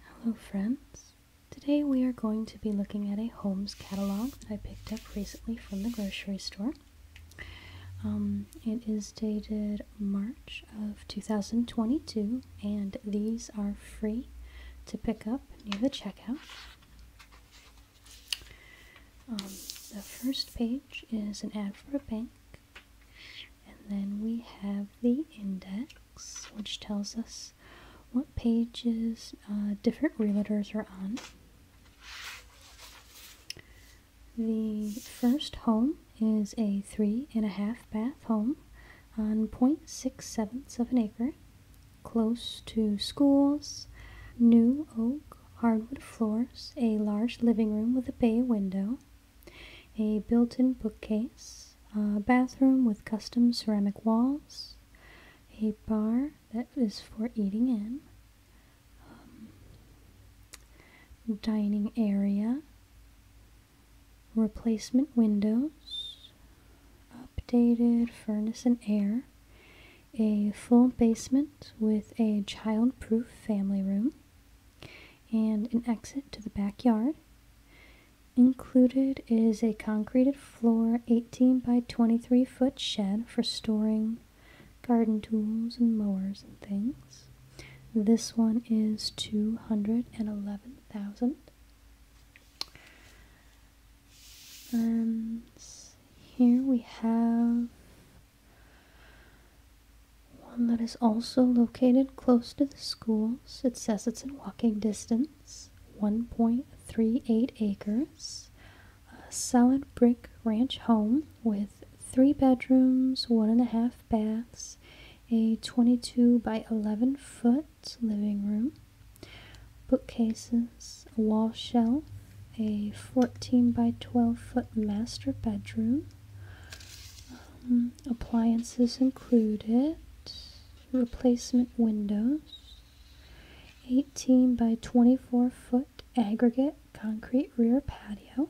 Hello friends! Today we are going to be looking at a Holmes catalog that I picked up recently from the grocery store. Um, it is dated March of 2022 and these are free to pick up near the checkout. Um, the first page is an ad for a bank and then we have the index, which tells us what pages uh, different realtors are on. The first home is a three and a half bath home on point six sevenths of an acre, close to schools, new oak hardwood floors, a large living room with a bay window, a built-in bookcase, a bathroom with custom ceramic walls, a bar that is for eating in, um, dining area, replacement windows, updated furnace and air, a full basement with a child-proof family room, and an exit to the backyard. Included is a concreted floor 18 by 23 foot shed for storing garden tools and mowers and things. This one is 211,000. And um, here we have one that is also located close to the schools. It says it's in walking distance, 1.38 acres. A solid brick ranch home with three bedrooms, one and a half baths, a 22 by 11 foot living room, bookcases, a wall shelf, a 14 by 12 foot master bedroom. Um, appliances included, replacement windows, 18 by 24 foot aggregate concrete rear patio,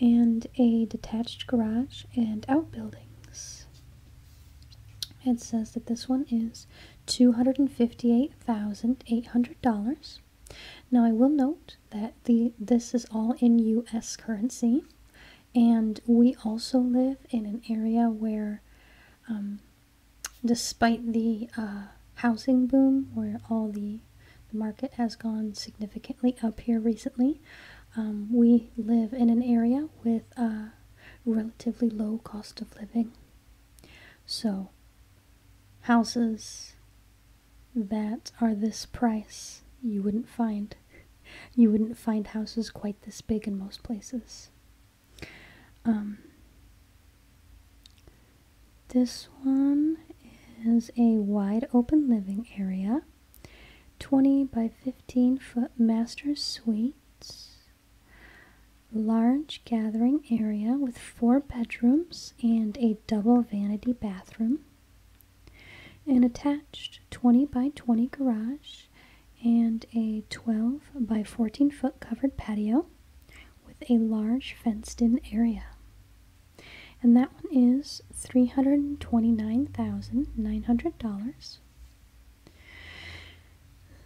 and a detached garage and outbuildings. It says that this one is $258,800. Now, I will note that the this is all in US currency and we also live in an area where um, despite the uh, housing boom where all the, market has gone significantly up here recently um, we live in an area with a relatively low cost of living so houses that are this price you wouldn't find. You wouldn't find houses quite this big in most places. Um, this one is a wide open living area, 20 by 15 foot master suite, large gathering area with four bedrooms and a double vanity bathroom. An attached 20 by 20 garage and a 12 by 14 foot covered patio with a large fenced in area. And that one is $329,900.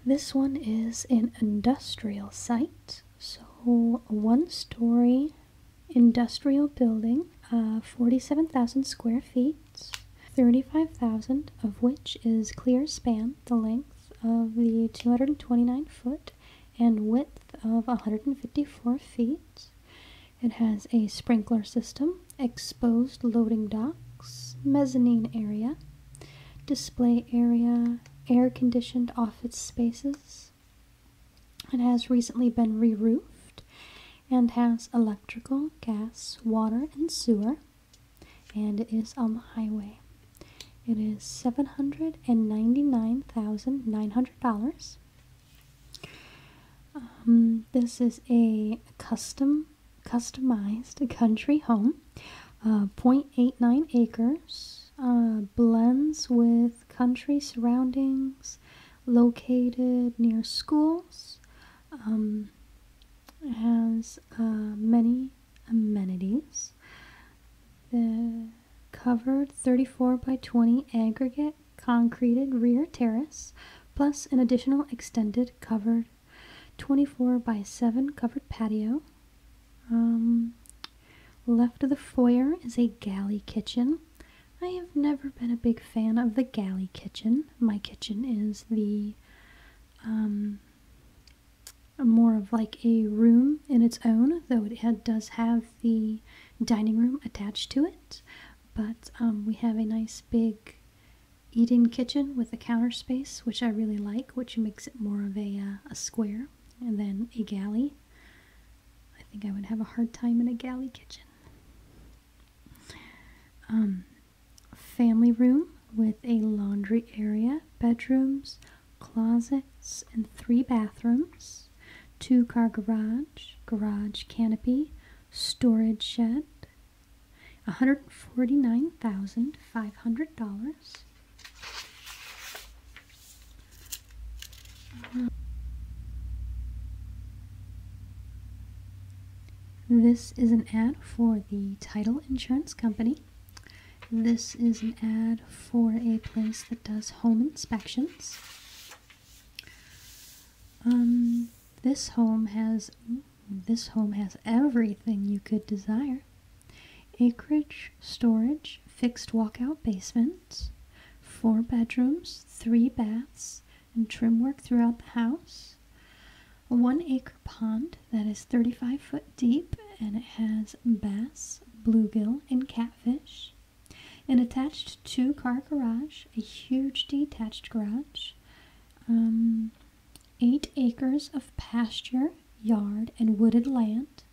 This one is an industrial site, so one story industrial building, uh, 47,000 square feet, 35,000 of which is clear span, the length of the 229 foot and width of 154 feet. It has a sprinkler system, exposed loading docks, mezzanine area, display area, air conditioned office spaces, it has recently been re roofed and has electrical, gas, water, and sewer, and it is on the highway. It is $799,900. Um, this is a custom customized country home, uh, 0.89 acres, uh, blends with country surroundings located near schools. Um, has uh, many amenities. The covered 34 by 20 aggregate concreted rear terrace, plus an additional extended covered 24 by 7 covered patio. Um, left of the foyer is a galley kitchen I have never been a big fan of the galley kitchen. My kitchen is the um, more of like a room in its own, though it does have the dining room attached to it. But um, we have a nice big eating kitchen with a counter space, which I really like, which makes it more of a, uh, a square, than a galley. I think I would have a hard time in a galley kitchen. Um, family room with a laundry area, bedrooms, closets, and three bathrooms, two car garage, garage canopy, storage shed, $149,500. This is an ad for the title insurance company. This is an ad for a place that does home inspections. Um, this home has this home has everything you could desire. Acreage, storage, fixed walkout basement, four bedrooms, three baths, and trim work throughout the house. A one acre pond that is 35 foot deep and it has bass, bluegill, and catfish. An attached two car garage, a huge detached garage, um, eight acres of pasture, yard, and wooded land.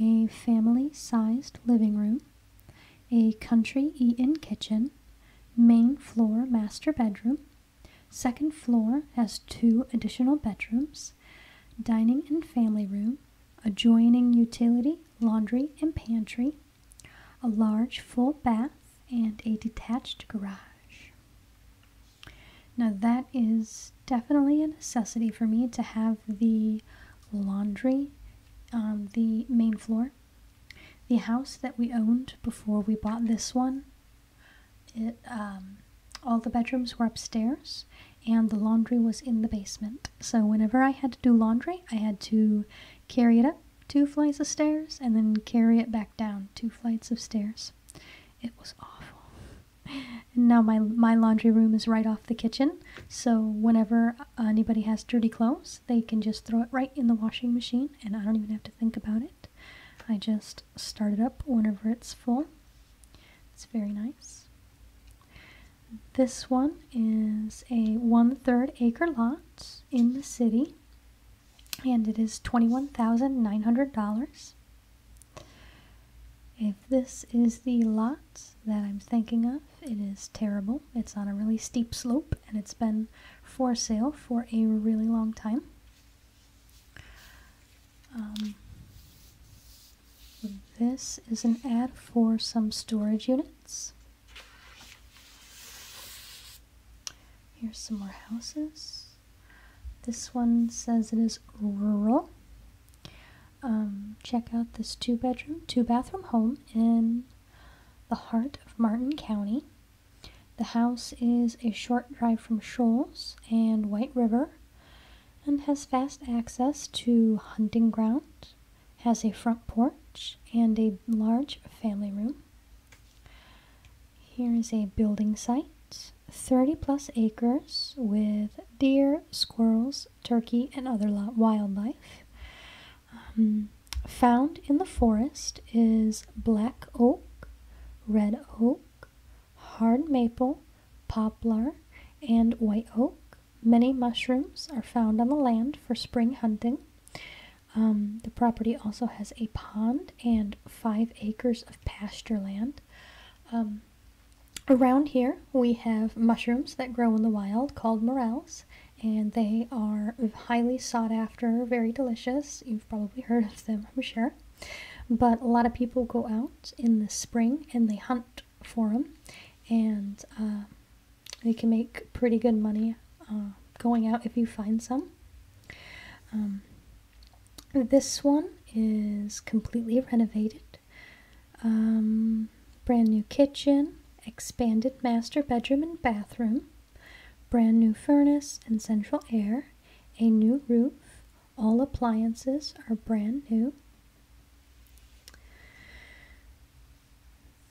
a family sized living room, a country eat in kitchen, main floor master bedroom. Second floor has two additional bedrooms, dining and family room, adjoining utility, laundry, and pantry, a large full bath, and a detached garage. Now, that is definitely a necessity for me to have the laundry on um, the main floor. The house that we owned before we bought this one, it, um, all the bedrooms were upstairs and the laundry was in the basement. So, whenever I had to do laundry, I had to carry it up two flights of stairs and then carry it back down two flights of stairs. It was awful and now my my laundry room is right off the kitchen, so whenever uh, anybody has dirty clothes, they can just throw it right in the washing machine, and I don't even have to think about it. I just start it up whenever it's full. It's very nice. This one is a one-third acre lot in the city, and it is twenty-one thousand nine hundred dollars. If this is the lot that I'm thinking of, it is terrible. It's on a really steep slope and it's been for sale for a really long time. Um, this is an ad for some storage units. Here's some more houses. This one says it is rural. Um, check out this two bedroom, two bathroom home in the heart of Martin County. The house is a short drive from Shoals and White River and has fast access to hunting ground, has a front porch, and a large family room. Here is a building site. 30 plus acres with deer, squirrels, turkey, and other wildlife. Um, found in the forest is black oak, red oak, hard maple, poplar, and white oak. Many mushrooms are found on the land for spring hunting. Um, the property also has a pond and five acres of pasture land. Um, around here, we have mushrooms that grow in the wild called morels, and they are highly sought after, very delicious. You've probably heard of them, I'm sure. But a lot of people go out in the spring and they hunt for them, and uh, they can make pretty good money uh, going out if you find some. Um, this one is completely renovated. Um, brand new kitchen, expanded master bedroom and bathroom, brand new furnace and central air, a new roof. All appliances are brand new.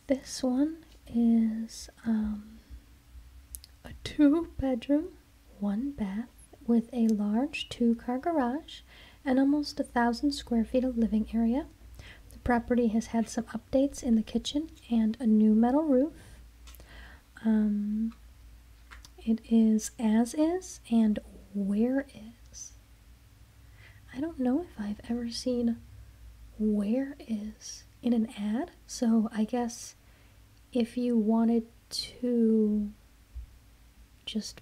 This one is um, a two bedroom one bath with a large two car garage and almost a thousand square feet of living area. The property has had some updates in the kitchen and a new metal roof. Um, it is as is and where is. I don't know if I've ever seen where is in an ad, so I guess if you wanted to just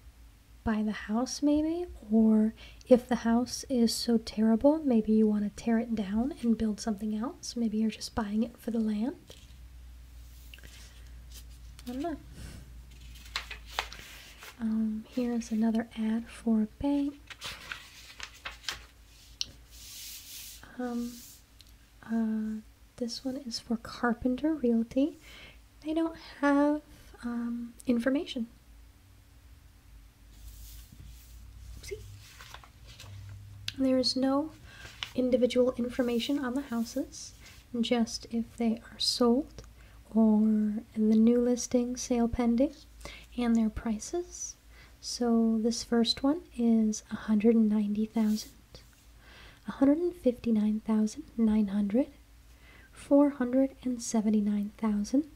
buy the house, maybe, or if the house is so terrible, maybe you want to tear it down and build something else. Maybe you're just buying it for the land. I don't know. Um, here's another ad for a bank. Um, uh, this one is for Carpenter Realty. They don't have um, information. There is no individual information on the houses, just if they are sold or the new listing, sale pending, and their prices. So this first one is 190,000. One hundred and fifty-nine thousand nine hundred, four hundred and seventy-nine thousand,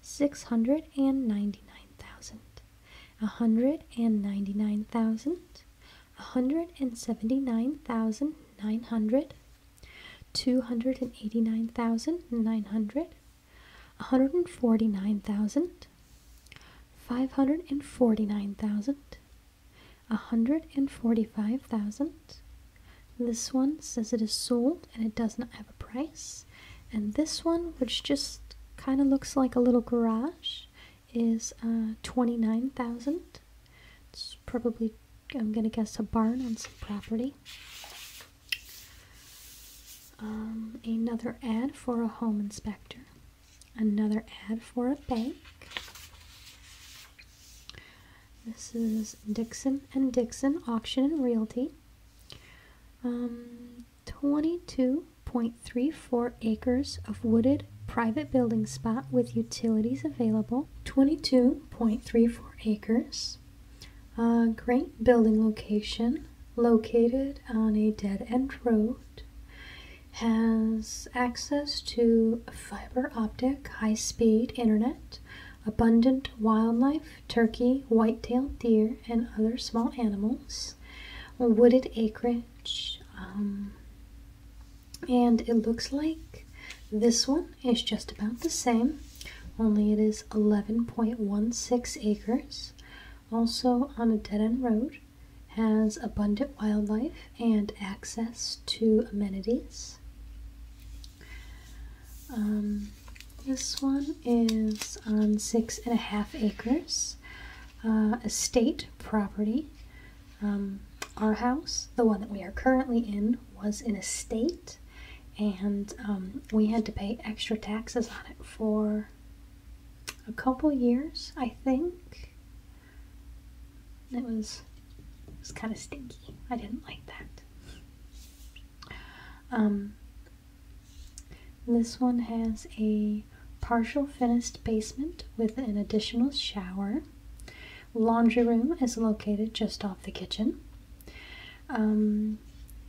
six hundred and ninety-nine thousand, a 199,000, a hundred and seventy-nine thousand nine hundred, two hundred and eighty-nine thousand nine hundred, a hundred and forty-nine thousand, five hundred and forty-nine thousand. 145,000. This one says it is sold and it does not have a price. And this one, which just kind of looks like a little garage, is uh, 29,000. It's probably, I'm going to guess, a barn on some property. Um, another ad for a home inspector another ad for a bank. This is Dixon and Dixon Auction and Realty. Um, 22.34 acres of wooded private building spot with utilities available. 22.34 acres. A great building location located on a dead end road has access to fiber optic, high speed internet, abundant wildlife, turkey, white tailed deer, and other small animals, wooded acreage. Um, and it looks like this one is just about the same, only it is 11.16 acres, also on a dead end road has abundant wildlife and access to amenities. Um, this one is on six and a half acres, a uh, state property. Um, our house, the one that we are currently in, was in a state, and um, we had to pay extra taxes on it for a couple years, I think. It was it was kind of stinky. I didn't like that. Um, this one has a partial finished basement with an additional shower. Laundry room is located just off the kitchen. Um,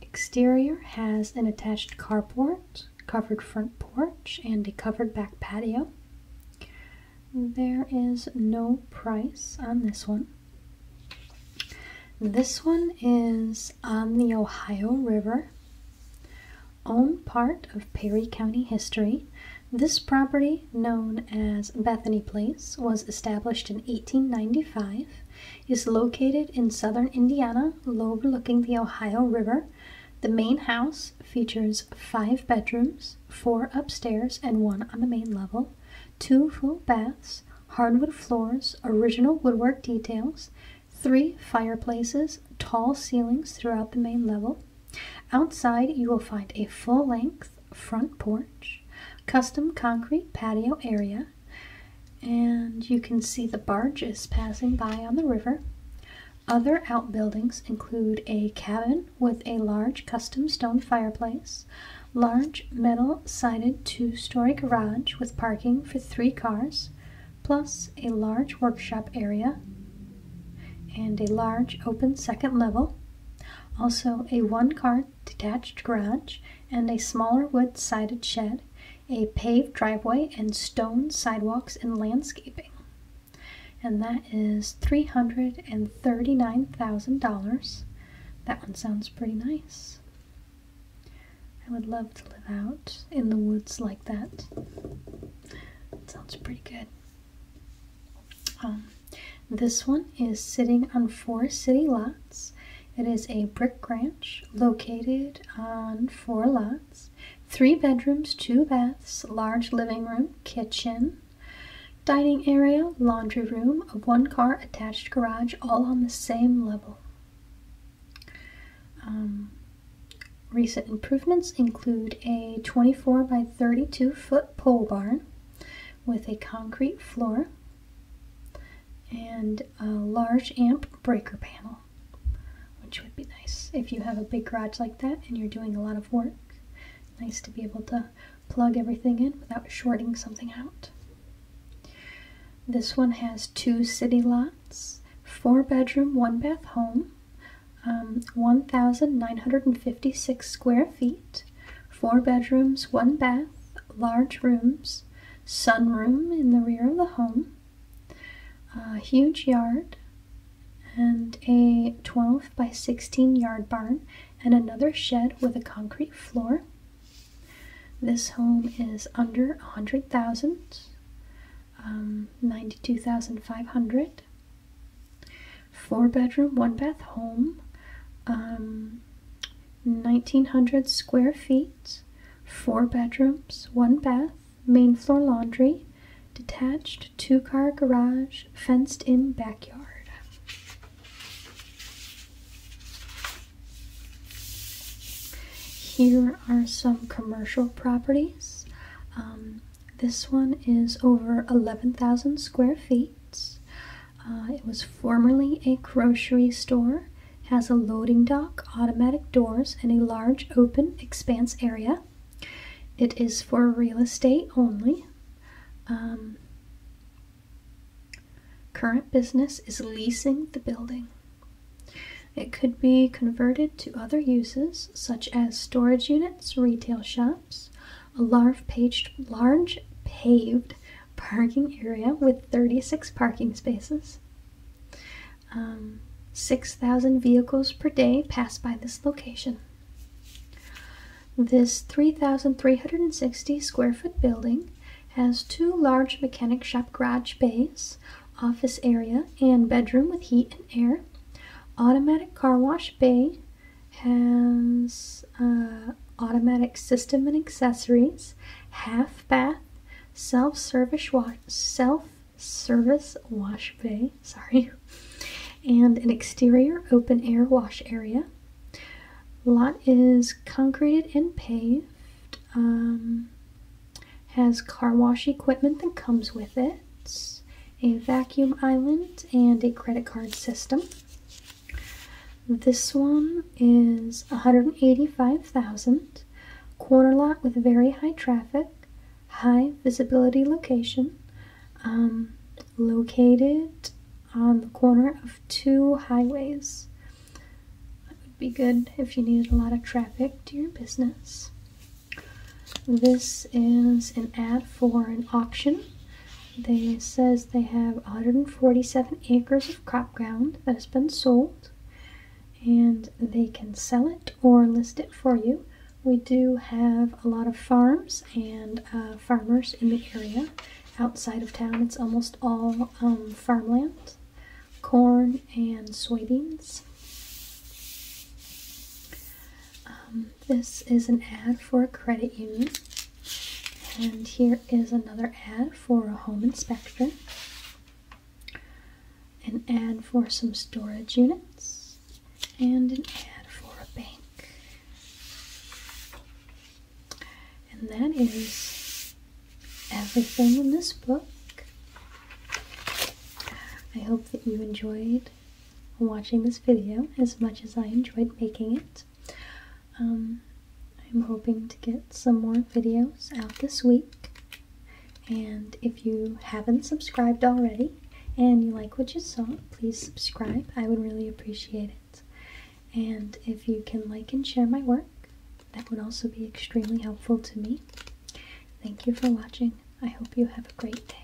exterior has an attached carport covered front porch, and a covered back patio. There is no price on this one. This one is on the Ohio River, own part of Perry County history. This property, known as Bethany Place, was established in 1895, is located in southern Indiana, overlooking the Ohio River. The main house features five bedrooms, four upstairs and one on the main level, two full baths, hardwood floors, original woodwork details, three fireplaces, tall ceilings throughout the main level. Outside, you will find a full length front porch, custom concrete patio area, and you can see the barges passing by on the river. Other outbuildings include a cabin with a large custom stone fireplace, large metal sided two story garage with parking for three cars, plus a large workshop area, and a large open second level. Also, a one car detached garage and a smaller wood sided shed, a paved driveway, and stone sidewalks and landscaping and that is $339,000. That one sounds pretty nice. I would love to live out in the woods like that. sounds pretty good. Um, this one is sitting on four city lots. It is a brick ranch located on four lots. Three bedrooms, two baths, large living room, kitchen, dining area, laundry room, a one car attached garage, all on the same level. Um, recent improvements include a 24 by 32 foot pole barn with a concrete floor and a large amp breaker panel which would be nice if you have a big garage like that and you're doing a lot of work. Nice to be able to plug everything in without shorting something out. This one has two city lots, four bedroom, one bath home, um, 1,956 square feet, four bedrooms, one bath, large rooms, sun room in the rear of the home, a huge yard, and a 12 by 16 yard barn, and another shed with a concrete floor. This home is under 100,000, um, 92,500. Four bedroom, one bath home, 1,900 um, square feet, four bedrooms, one bath main floor laundry, detached two car garage, fenced in backyard. Here are some commercial properties. Um, this one is over 11,000 square feet. Uh, it was formerly a grocery store, has a loading dock automatic doors and a large open expanse area. It is for real estate only. Um, current business is leasing the building. It could be converted to other uses such as storage units, retail shops, a large paged, large paved parking area with 36 parking spaces, um, 6,000 vehicles per day pass by this location. This 3,360 square foot building has two large mechanic shop garage bays, office area, and bedroom with heat and air. Automatic car wash bay has uh, automatic system and accessories, half bath, self-service wash, self service wash bay, sorry, and an exterior open air wash area. Lot is concreted and paved. Um, has car wash equipment that comes with it, a vacuum island, and a credit card system. This one is 185,000 corner lot with very high traffic, high visibility location, um, located on the corner of two highways. That would be good if you needed a lot of traffic to your business. This is an ad for an auction. They says they have 147 acres of crop ground that has been sold and they can sell it or list it for you. We do have a lot of farms and uh, farmers in the area. Outside of town, it's almost all um, farmland, corn, and soybeans. Um, this is an ad for a credit union. And here is another ad for a home inspector an ad for some storage units, and an ad for a bank. And that is everything in this book. I hope that you enjoyed watching this video as much as I enjoyed making it. Um, I'm hoping to get some more videos out this week. And if you haven't subscribed already and you like what you saw, please subscribe. I would really appreciate it. And if you can like and share my work, that would also be extremely helpful to me. Thank you for watching. I hope you have a great day.